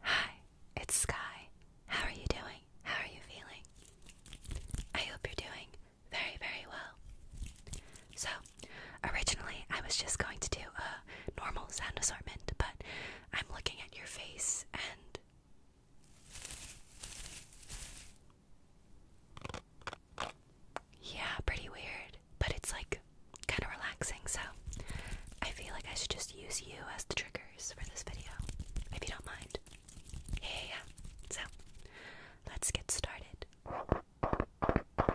Hi, it's Sky. How are you doing? How are you feeling? I hope you're doing very, very well. So, originally I was just going to do a normal sound assortment, but I'm looking at your face and yeah, pretty weird, but it's like kind of relaxing, so I feel like I should just use you as the triggers for this video, if you don't mind. Yeah, yeah, yeah. So, let's get started. I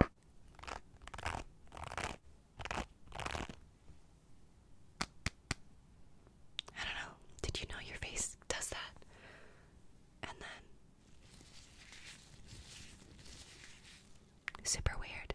don't know. Did you know your face does that? And then Super weird.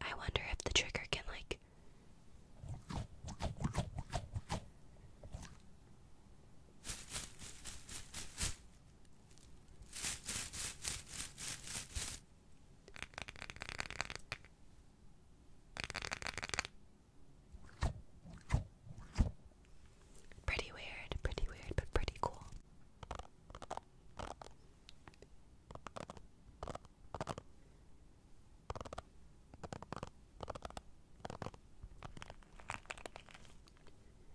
I wonder if the trigger can, like, Pretty weird, pretty weird, but pretty cool. Are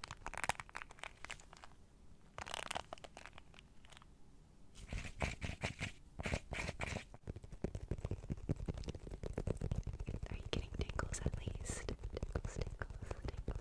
you getting tingles at least? Tingles, tingles, tingles, tingles.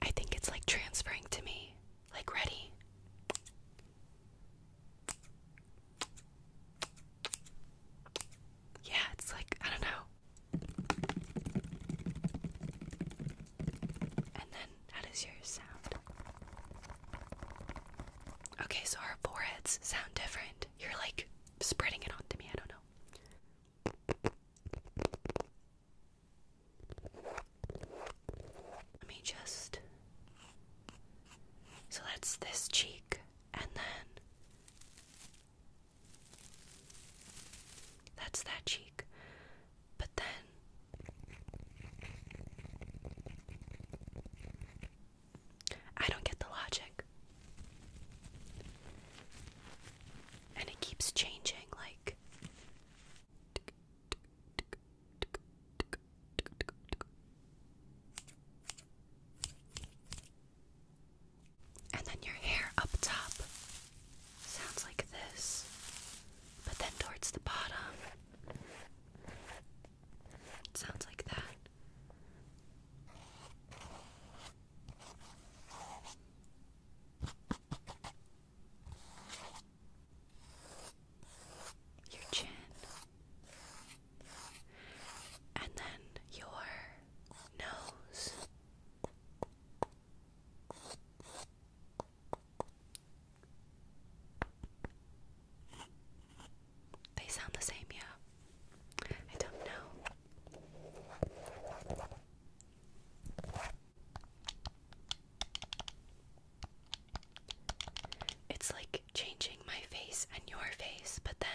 I think it's like transferring to me. Like, ready. Yeah, it's like, I don't know. And then, how does yours sound? Okay, so our foreheads sound different. You're like spreading it onto me, I don't know. Let me just. So that's this cheek, and then that's that cheek. But then I don't get the logic. And it keeps changing like and then your hair up top sounds like this, but then towards the bottom sounds like that. Your chin and then your nose. They sound the same, yeah. I don't know. It's like changing my face and your face, but then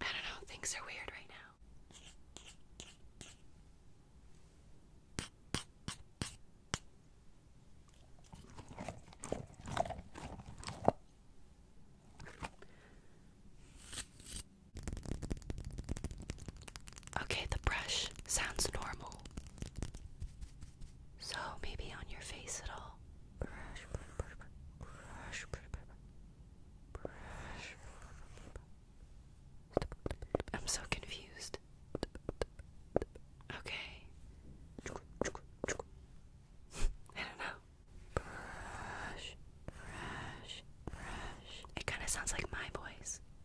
I don't know, things are weird right now. Okay, the brush sounds normal. So maybe on your face at all. Brush, brush, brush, brush, brush. I'm so confused. Okay. I don't know. Brush, brush, brush. It kind of sounds like my voice.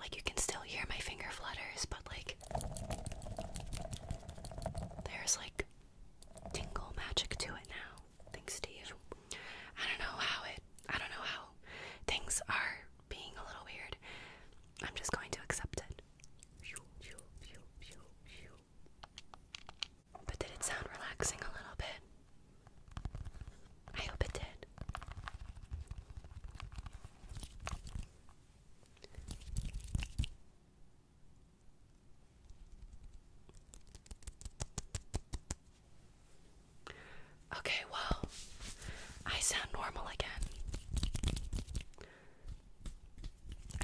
Like you can still hear my finger flutters, but like there's like tingle magic to it now, thanks to you. I don't know how it I don't know how things are being a little weird. I'm just going to accept it. But did it sound relaxing a little bit? I hope it did. Okay, well, I sound normal again.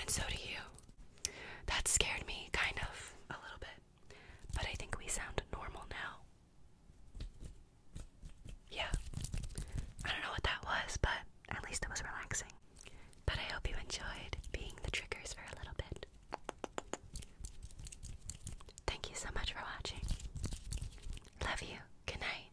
And so do you. That scared me, kind of, a little bit. But I think we sound normal now. Yeah. I don't know what that was, but at least it was relaxing. But I hope you enjoyed being the triggers for a little bit. Thank you so much for watching. Love you. Good night.